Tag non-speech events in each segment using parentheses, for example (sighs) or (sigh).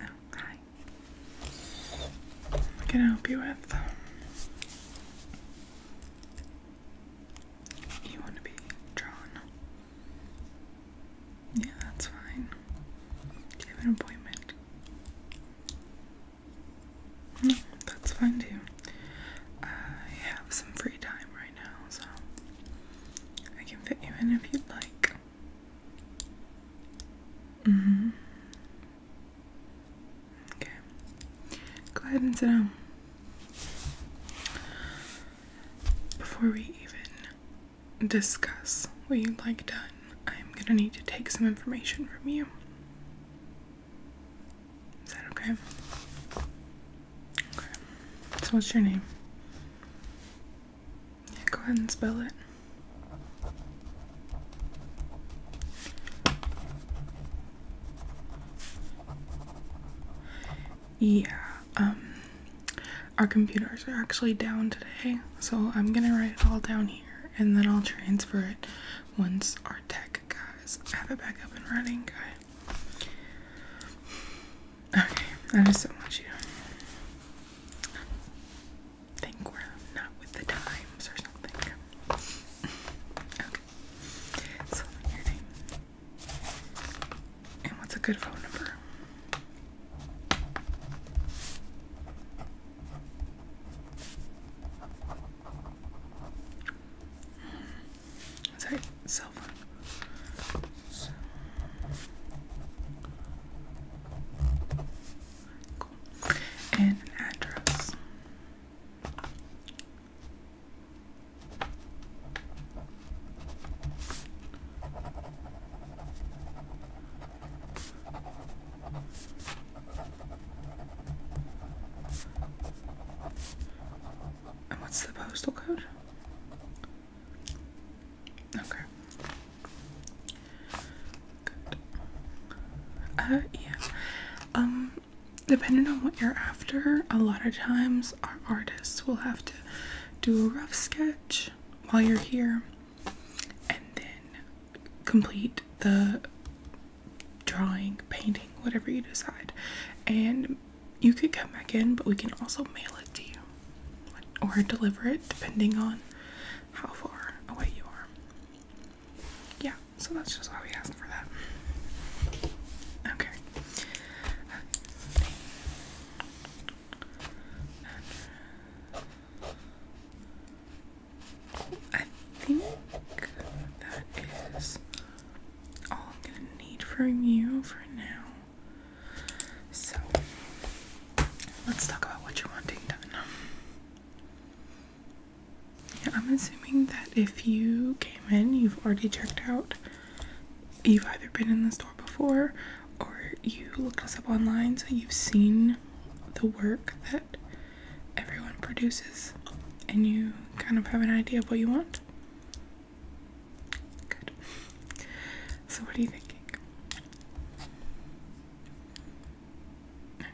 Oh, hi. can I help you with? You want to be drawn? Yeah, that's fine. Do you have an appointment? No, that's fine too. I have some free time right now, so I can fit you in if you'd like. Mm hmm Okay. Go ahead and sit down. Before we even discuss what you'd like done, I'm gonna need to take some information from you. Is that okay? Okay. So, what's your name? Yeah, go ahead and spell it. Yeah, um, our computers are actually down today, so I'm gonna write it all down here and then I'll transfer it once our tech guys have it back up and running. Okay, okay don't want you think we're not with the times or something. (laughs) okay. So your name. And what's a good phone number? Is hmm. cell phone? And address. And what's the postal code? Okay. Uh, yeah. Um, depending on what you're after, a lot of times our artists will have to do a rough sketch while you're here and then complete the drawing, painting, whatever you decide. And you could come back in, but we can also mail it to you or deliver it depending on how far away you are. Yeah, so that's just why we ask for that. Okay. I think that is all I'm gonna need from you for now. So, Let's talk about what you're wanting done. I'm assuming that if you came in, you've already checked out. You've either been in the store before or you looked us up online, so you've seen the work that everyone produces and you kind of have an idea of what you want. Good. So, what are you thinking? Okay.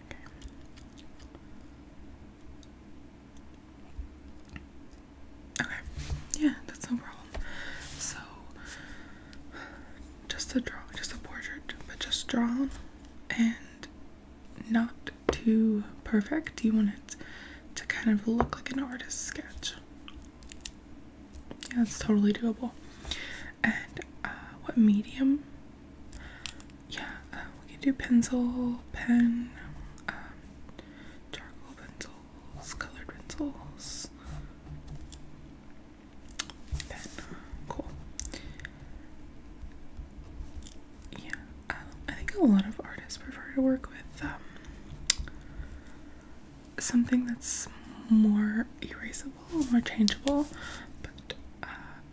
Okay. Yeah, that's no problem. So just a draw just a portrait, but just drawn and not too perfect. You want it to kind of look like an artist's sketch. Yeah, it's totally doable and uh, what medium? Yeah, uh, we can do pencil, pen, um, charcoal pencils, colored pencils. Pen, cool. Yeah, um, I think a lot of artists prefer to work with um, something that's more erasable, more changeable, but uh,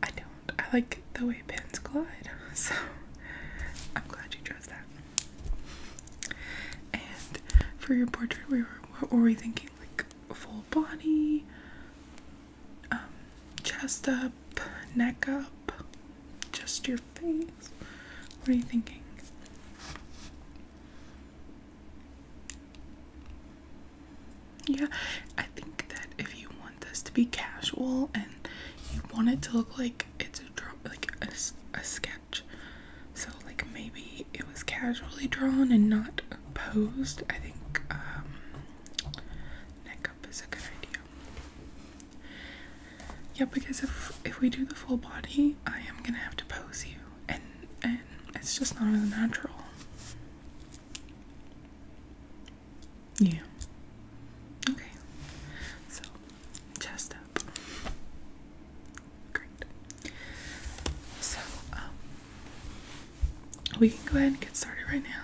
I don't. I like the way pens glide, (laughs) so I'm glad you chose that. And for your portrait, we were what were we thinking? Like full body, um, chest up, neck up, just your face. What are you thinking? Yeah, I think that if you want this to be casual and you want it to look like it's a draw, like a, a sketch, so like maybe it was casually drawn and not posed. I think um, neck up is a good idea. Yeah, because if if we do the full body, I am gonna have to pose you and and it's just not as natural. Yeah. Okay. So chest up. Great. So um we can go ahead and get started right now.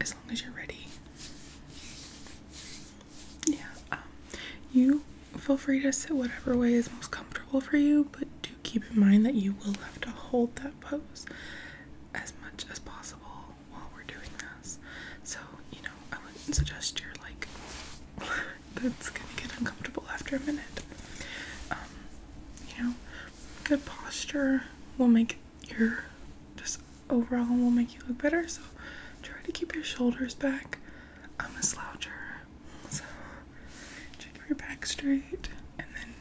As long as you're ready. Yeah, um, you feel free to sit whatever way is most comfortable for you, but do keep in mind that you will have to hold that pose as much as possible while we're doing this. So, you know, I wouldn't suggest you're like, (laughs) that's gonna get uncomfortable after a minute. Um, you know, good posture will make your just overall will make you look better. So, try to keep your shoulders back. I'm a sloucher, so check your back straight, and then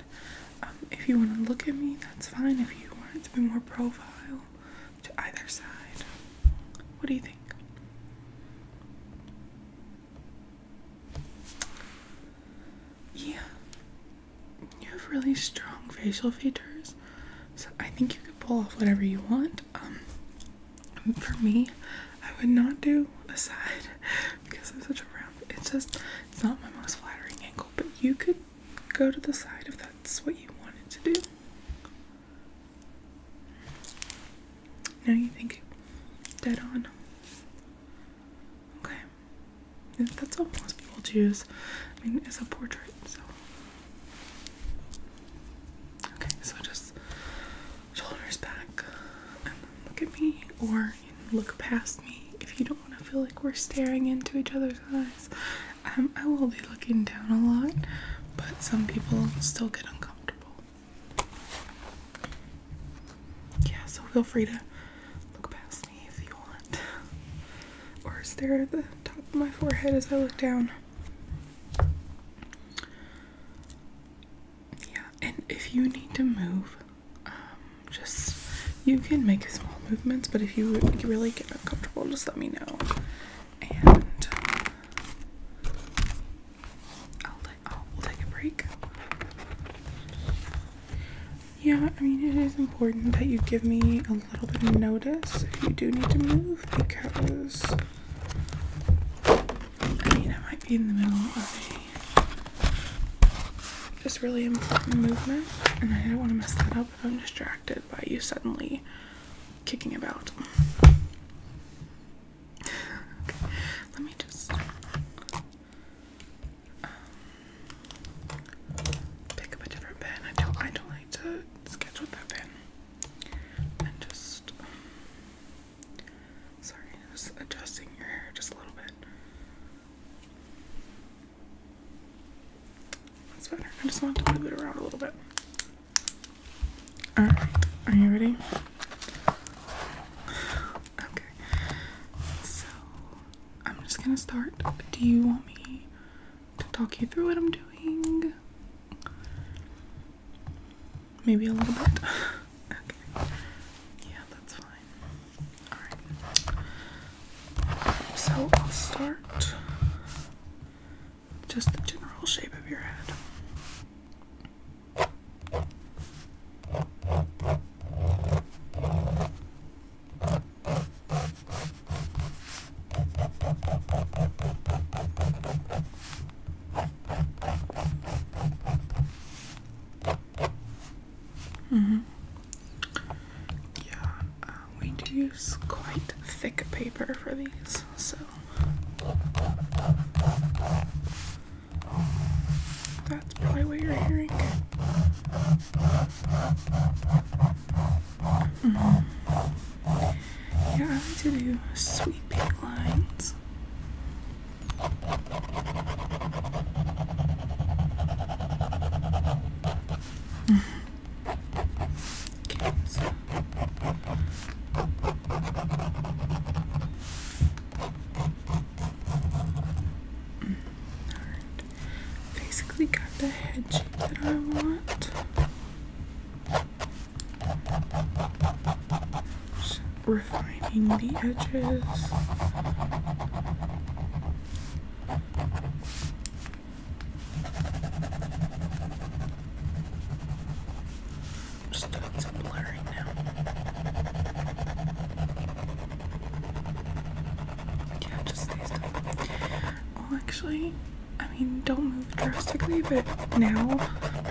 um, if you want to look at me, that's fine. If you want to be more profile to either side, what do you think? Yeah, you have really strong facial features, so I think you can pull off whatever you want. Um, for me, I would not do a side because I'm such a round. It's just it's not my most flattering angle, but you could go to the side if that's what you wanted to do. Now you think dead on. Okay. That's all most people choose. I mean, it's a portrait, so. Okay, so just shoulders back, and look at me, or look past me if you don't want to feel like we're staring into each other's eyes. Um, I will be looking down a lot, but some people still get uncomfortable. Yeah, so feel free to look past me if you want, or stare at the top of my forehead as I look down. Yeah, and if you need to move, um, just you can make small movements, but if you really get uncomfortable, just let me know, and oh, we'll take a break. Yeah, I mean it is important that you give me a little bit of notice if you do need to move because I mean I might be in the middle of a just really important movement, and I don't want to mess that up if I'm distracted by you suddenly kicking about. let me just um, pick up a different pen. I don't, I don't like to sketch with that pen. And just Sorry, just adjusting your hair just a little bit. That's better. I just want to move it around a little bit. Alright, are you ready? Okay. So I'm just gonna start. Do you want me to talk you through what I'm doing? Maybe a little bit. (laughs) okay. Yeah, that's fine. Alright. So I'll start just the general shape of your head. Mm -hmm. Yeah, uh, we do use quite thick paper for these, so that's probably what you're hearing. Mm -hmm. Yeah, I like to do sweeping lines okay, so. Basically got the head shape that I want refining the edges. Just doing blurring now. Yeah, just stay still. Oh, actually, I mean, don't move drastically, but now,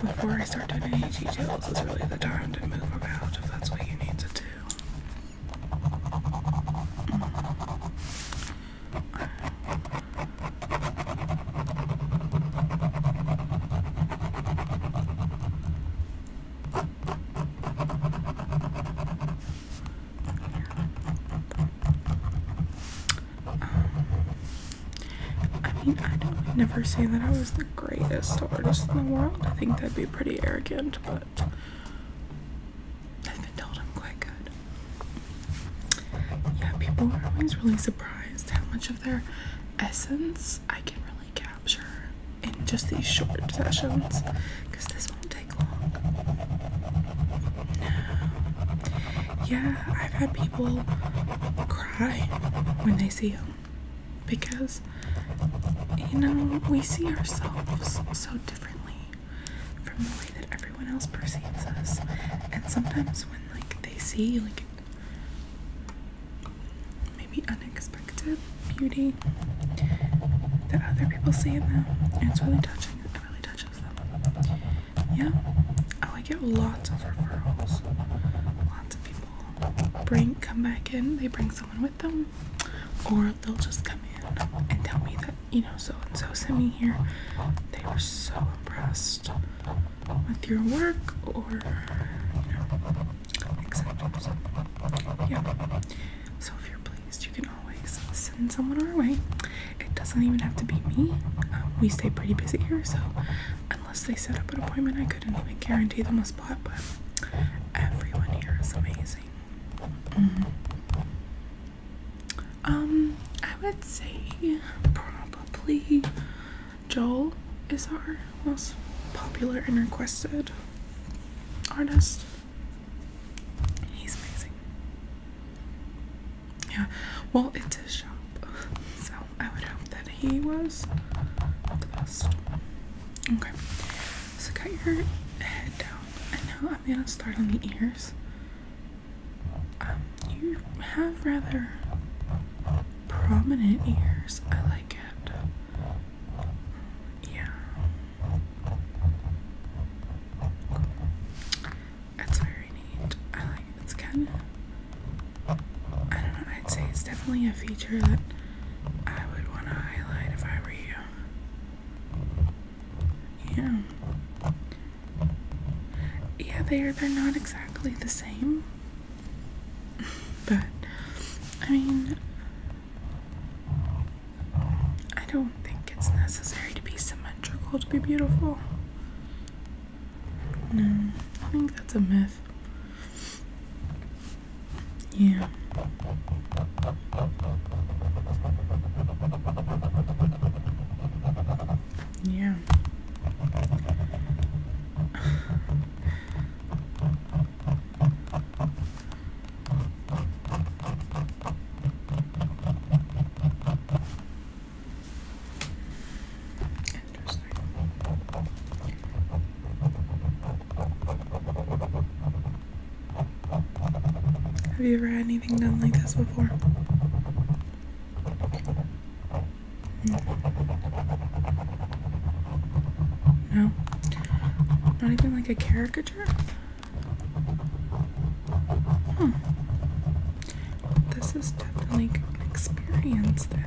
before I start uncertain any details is really the time to move about if that's what you need to do. Um, I mean, I don't never say that I was greatest artist in the world. I think that'd be pretty arrogant, but I've been told I'm quite good. Yeah, people are always really surprised how much of their essence I can really capture in just these short sessions because this won't take long. Yeah, I've had people cry when they see him because you know we see ourselves so differently from the way that everyone else perceives us and sometimes when like they see like maybe unexpected beauty that other people see in them it's really touching it really touches them yeah oh I get lots of referrals lots of people bring come back in they bring bring someone with them, or they'll just come in and tell me that, you know, so and so sent me here. They were so impressed with your work, or, you know, etc. yeah. So, if you're pleased, you can always send someone our way. It doesn't even have to be me. Uh, we stay pretty busy here, so unless they set up an appointment, I couldn't like guarantee them a spot, but everyone here is amazing. Mm-hmm. Um, I would say probably Joel is our most popular and requested artist. He's amazing. Yeah, well, it's his shop, (laughs) so I would hope that he was the best. Okay, so got your head down, I know I'm gonna start on the ears. Um, you have rather prominent ears. I like it. Yeah. That's very neat. I like it. It's I don't know. I'd say it's definitely a feature that I would want to highlight if I were you. Yeah. Yeah, they're they're not exactly the same. (laughs) but I mean I don't think it's necessary to be symmetrical to be beautiful. No, I think that's a myth. Yeah. Yeah. Interesting. Have you ever had anything done like this before? No. Not even like a caricature? Hmm. This is definitely an experience then.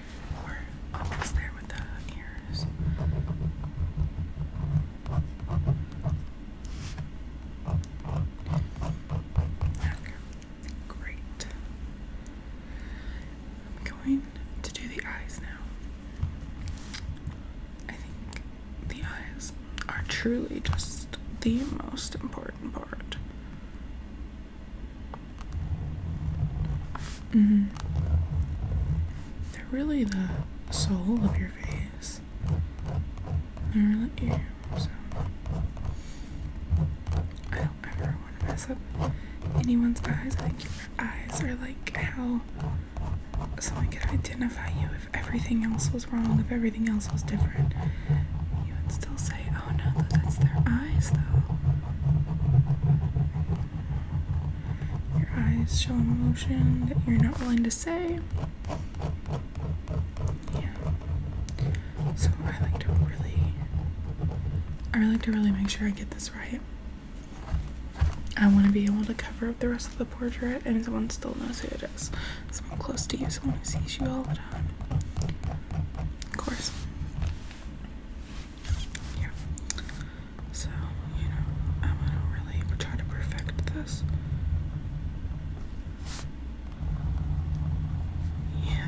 there with the ears. great. I'm going to do the eyes now. I think the eyes are truly just the most important part. Mm. They're really the soul of your face. They're really you, so I don't ever want to mess up anyone's eyes. I think your eyes are like how someone could identify you if everything else was wrong, if everything else was different. You would still say, oh no, that's their eyes your eyes show emotion that you're not willing to say. Yeah. So I like to really I like to really make sure I get this right. I want to be able to cover up the rest of the portrait and someone still knows who it is. Someone close to you, someone who sees you all the time. Of course yeah. So, you know, I'm um, gonna really try to perfect this. Yeah. Yeah.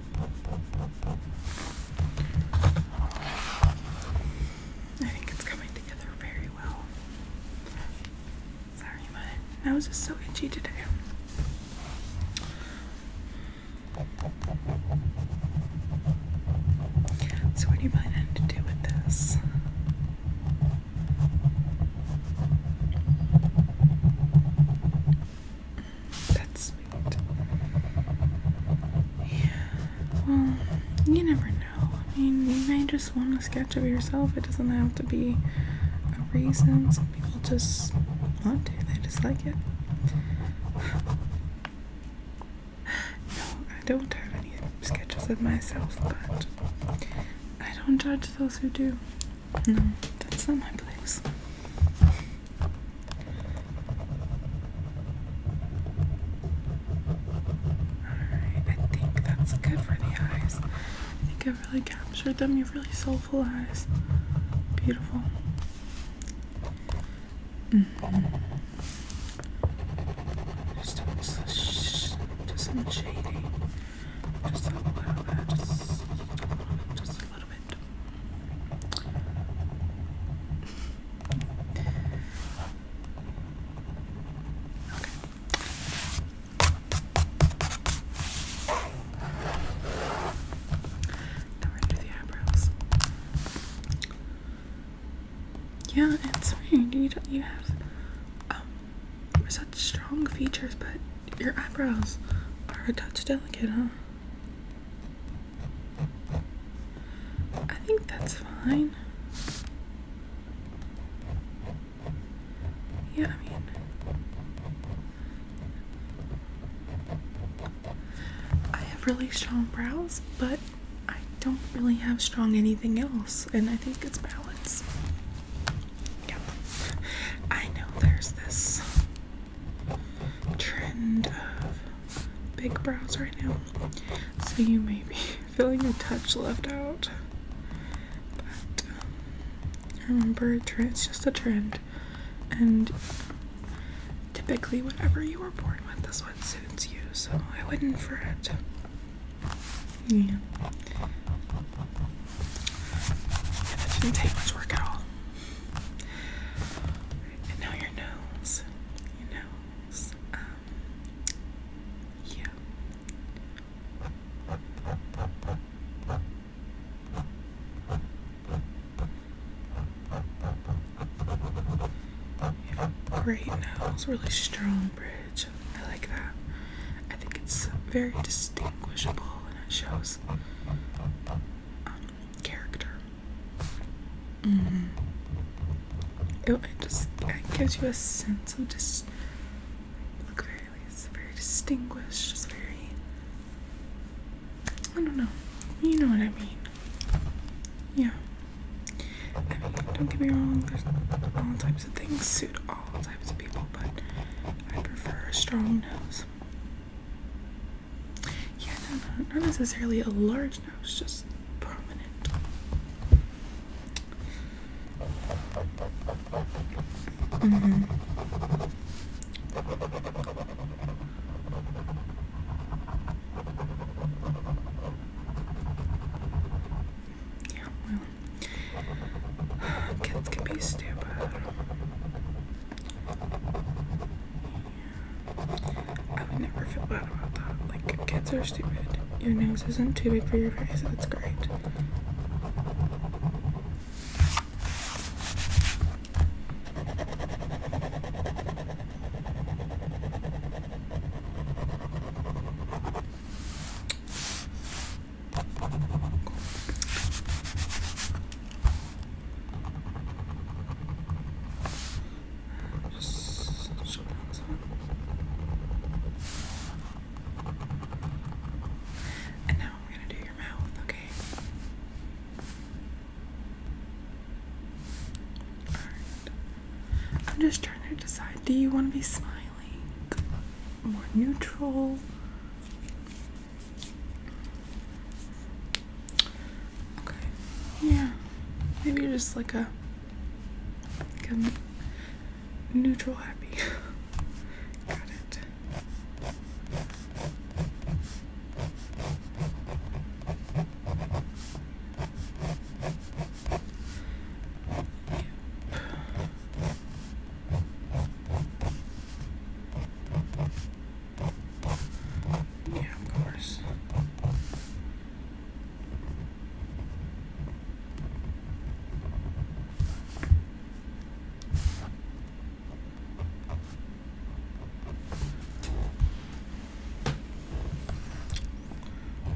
I think it's coming together very well. Sorry, my nose is so itchy today. So, what do you plan to do with this? That's sweet. Yeah. Well, you never know. I mean, you may just want a sketch of yourself. It doesn't have to be a reason. Some people just want to. They just like it. (sighs) No, I don't have any sketches of myself, but I don't judge those who do. No, that's not my place. Alright, I think that's good for the eyes. I think i really captured them. You have really soulful eyes. Beautiful. Mm -hmm. Just do some shading. Just a little bit, just a little bit, just a little bit. Now we the eyebrows. Yeah, it's weird. You, don't, you have um, such strong features, but your eyebrows are a touch delicate, huh? I think that's fine. Yeah, I mean, I have really strong brows, but I don't really have strong anything else, and I think it's balance. Yep. I know there's this trend of big brows right now. So you may be (laughs) feeling a touch left out. But um, remember, it's just a trend. And typically, whatever you were born with is what suits you. So I wouldn't fret. Yeah. And it didn't take much work at all. And now your nose. Your nose. Um, yeah. You have a great nose, really strong bridge. I like that. I think it's very distinguishable and it shows character. Mm-hmm. it, it just it gives you a sense of just look very, it's very distinguished, just very. I don't know. You know what I mean. Yeah. I mean, don't get me wrong, there's all types of things suit all types of people, but I prefer a strong nose. Yeah, no, not necessarily a large nose, just prominent. Mm -hmm. Yeah, well, (sighs) kids can be stupid. I would never feel bad about that. Like, kids are stupid. Your nose isn't too big for your face, that's great. And now I'm going to do your mouth, okay? I'm just trying to decide do you want to be smiling? More neutral? Okay. Yeah. Maybe just like a like a neutral happy. (laughs) Got it. Yep. Yeah, of course.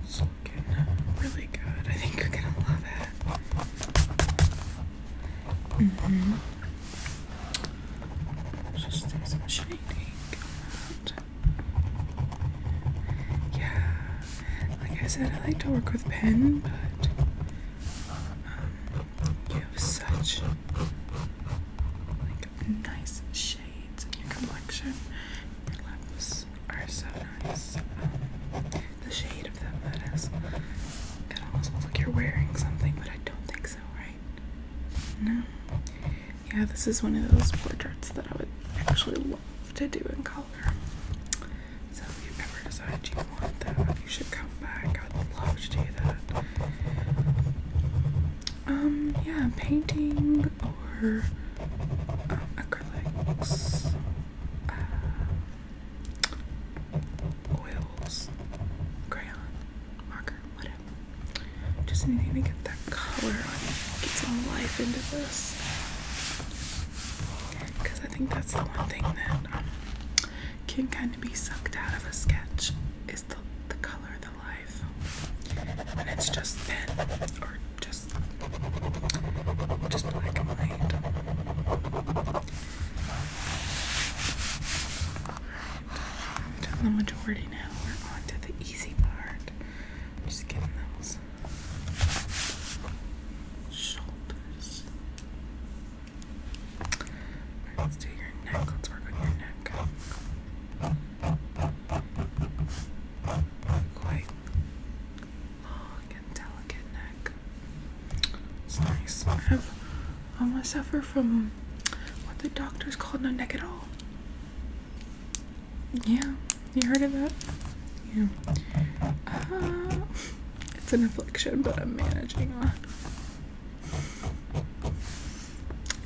It's looking really good. I think you're gonna love it. Mm -hmm. Just do some shading around. Yeah, like I said, I like to work with pen, but um, you have such like nice shades in your complexion. Your lips are so nice. the shade of them that is. It almost looks like you're wearing something, but I don't think so, right? Yeah, this is one of those portraits that I would actually love to do in color. So if you ever decide you want that, you should come back. I'd love to do that. Um, yeah, painting or uh, acrylics, uh, oils, crayon, marker, whatever. Just need to get that color on, get some life into this. Because I think that's the one thing that um, can kind of be sucked out of a sketch is the, the color, the life. When it's just thin or just, just black and white. We've done the majority now. We're on to the easy part. Just getting those shoulders. let's do your neck. Let's work on your neck. Quite long and delicate neck. It's nice. I I'm um, gonna suffer from what the doctors call no neck at all. Yeah, you heard of that? Yeah. Uh, it's an affliction, but I'm managing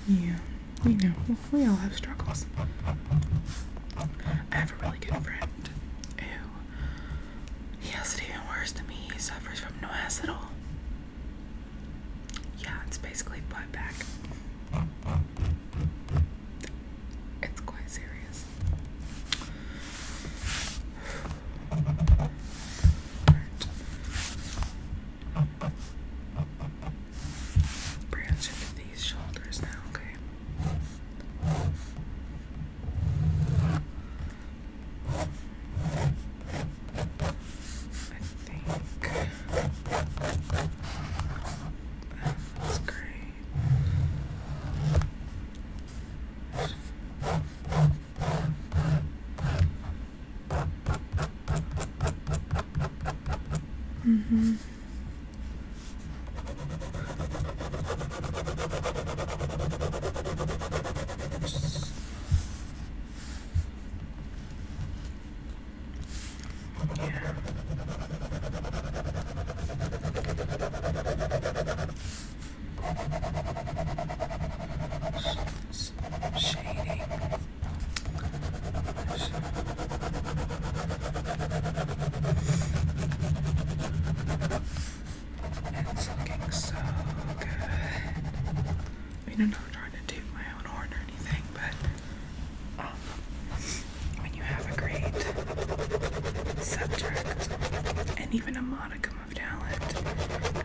Yeah, you know, we all have struggles. I have a really good friend who, he has it even worse than me. He suffers from no ass at all. Yeah, it's basically butt back. It's quite serious. Branch into these shoulders now, okay? I think that's great. Mm-hmm. Yeah. Shading. It's looking so good. I mean, am not trying to do my or anything, but um, when you have a great subject and even a modicum of talent,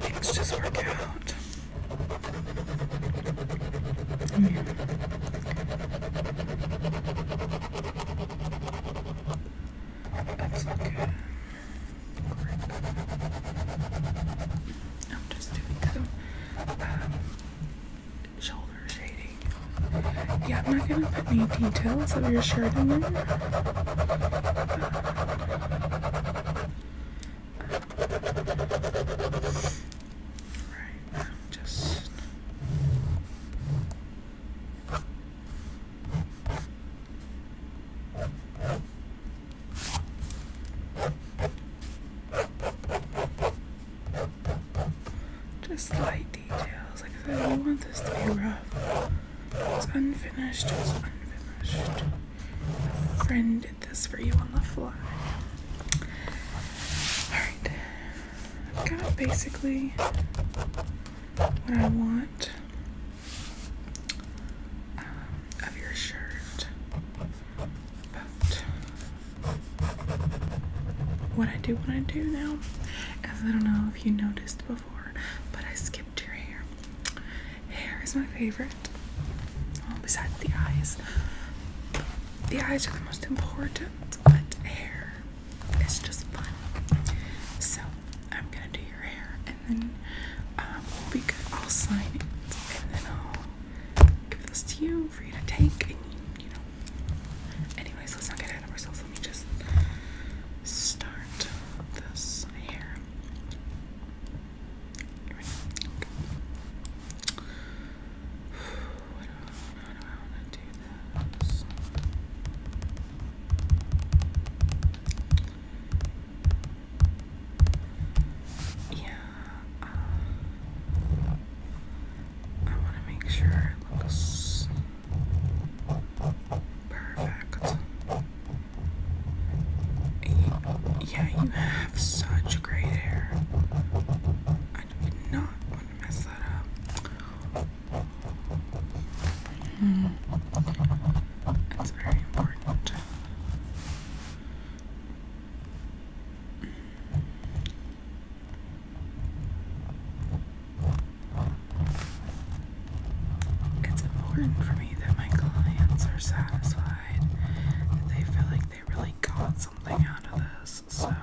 things just work out. I mean, I'm just doing some um, shoulder shading. Yeah, I'm not gonna put any details of your shirt in there. Right, I'm just just light details. Like I don't want this to be rough. It's unfinished. It's unfinished. A friend did this for you on the fly. Alright. I've got basically what I want um, of your shirt. But what I do, what I do now, as I don't know if you noticed before, but I skipped your hair. Hair is my favorite, well, besides the eyes. The eyes are the most important, but hair is just fun. So I'm gonna do your hair then we'll be good. I'll sign it and then I'll give this to you for you to take and you, know. Anyways, let's not get ahead of ourselves. Let me just start this hair. Right okay. I don't know to do this. Yeah, uh, I want to make sure it looks perfect. Yeah, you have such great hair. I did not want to mess that up. Mm. It's very important. It's important for me that my clients are satisfied, they feel like they really got something out of this, so. Yeah.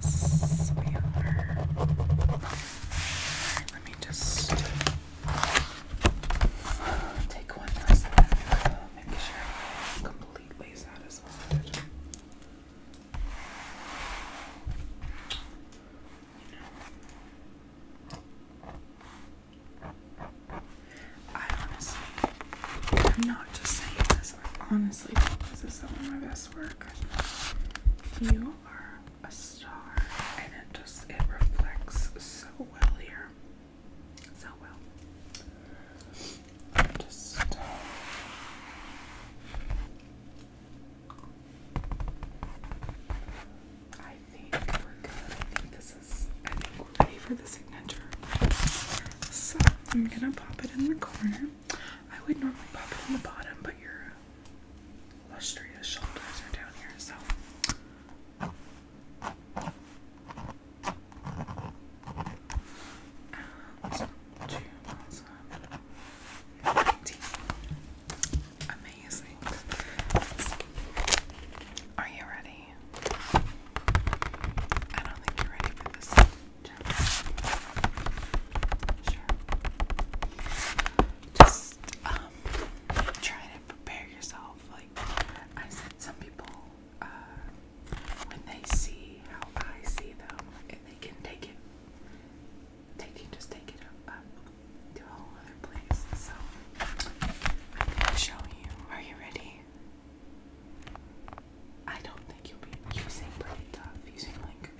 Yes, we are. let me just take one last look. Make sure I'm completely satisfied. I honestly, am not just saying this, honestly think this is some of my best work. You are a star, and it just, it reflects so well here. So well. Just. Uh, I think we're good. I think this I think we're ready for the signature. So I'm gonna pop it in the corner. I would normally pop it in the bottom, but your lustrous shoulders are down here, so. And two Amazing. Are you ready? I don't think you're ready for this. Sure. Just um try to prepare yourself. Like I said, some people uh, when they see how I see them, they can take it. They can just take it up, to a whole other place. So show you. Are you ready? I don't think you'll be using pretty tough using like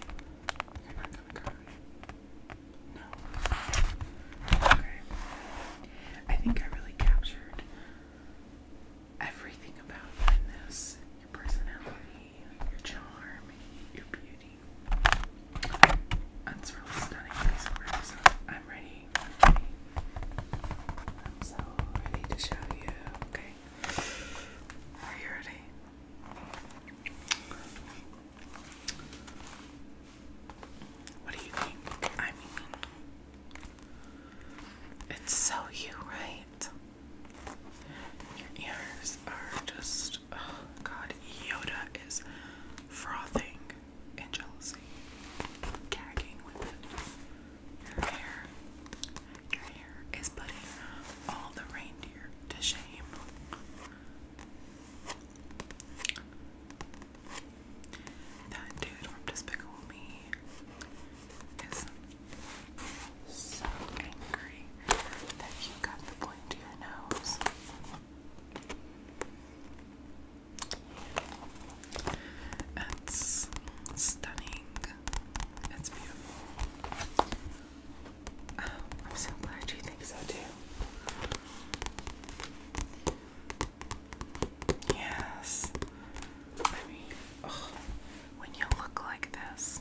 you're not gonna cry. No. Okay. I think I really captured everything about you in this. Your personality, your charm, your beauty. That's really stunning I'm ready I'm so ready to show you. Okay. Are you ready? What do you think? I mean, it's so you, right? Your ears are just, oh god, Yoda is frothing in jealousy, gagging with it. Your hair, your hair is putting all the reindeer to shame. That dude from Despicable Me is so angry that you got the point to your nose. That's stunning. It's beautiful. Oh, I'm so glad you think so too. Yes. I mean, when you look like this,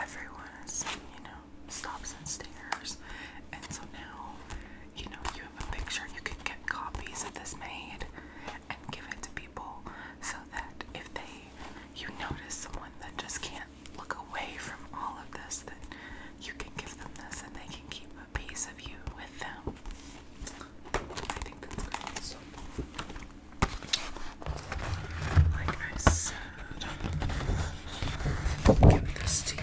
everyone is, you know, stops and stares. And so now, you know, you have a picture, you can get copies of this made and give it to people so that if they you notice someone that just can't look away from all of this then you can give them this and they can keep a piece of you with them. I think that's great. like I said, give this to you.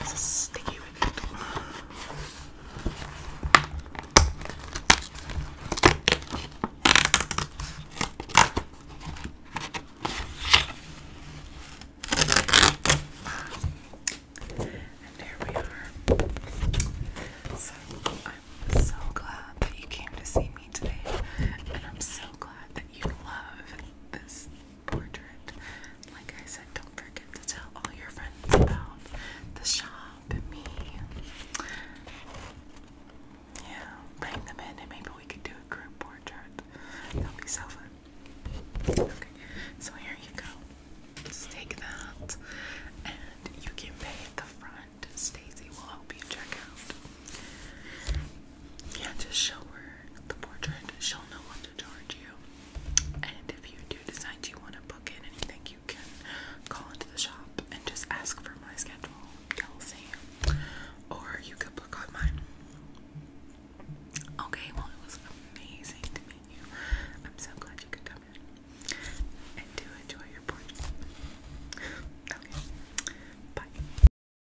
This is sticky with And here we are. So I'm so glad that you came to see me today, and I'm so glad that you love this portrait. Like I said, don't forget to tell all your friends about the shop me. Yeah, bring them in and maybe we could do a group portrait. That'll be so fun. Okay, so here you go. Just take that and you can pay at the front. Stacy will help you check out. Yeah, just show her the portrait. She'll know what to charge you. And if you do decide you want to book in anything, you can call into the shop and just ask for my schedule, Kelsey. Or you could book on Okay, well, it was amazing to meet you. I'm so glad you could come in and do enjoy your portrait. bye.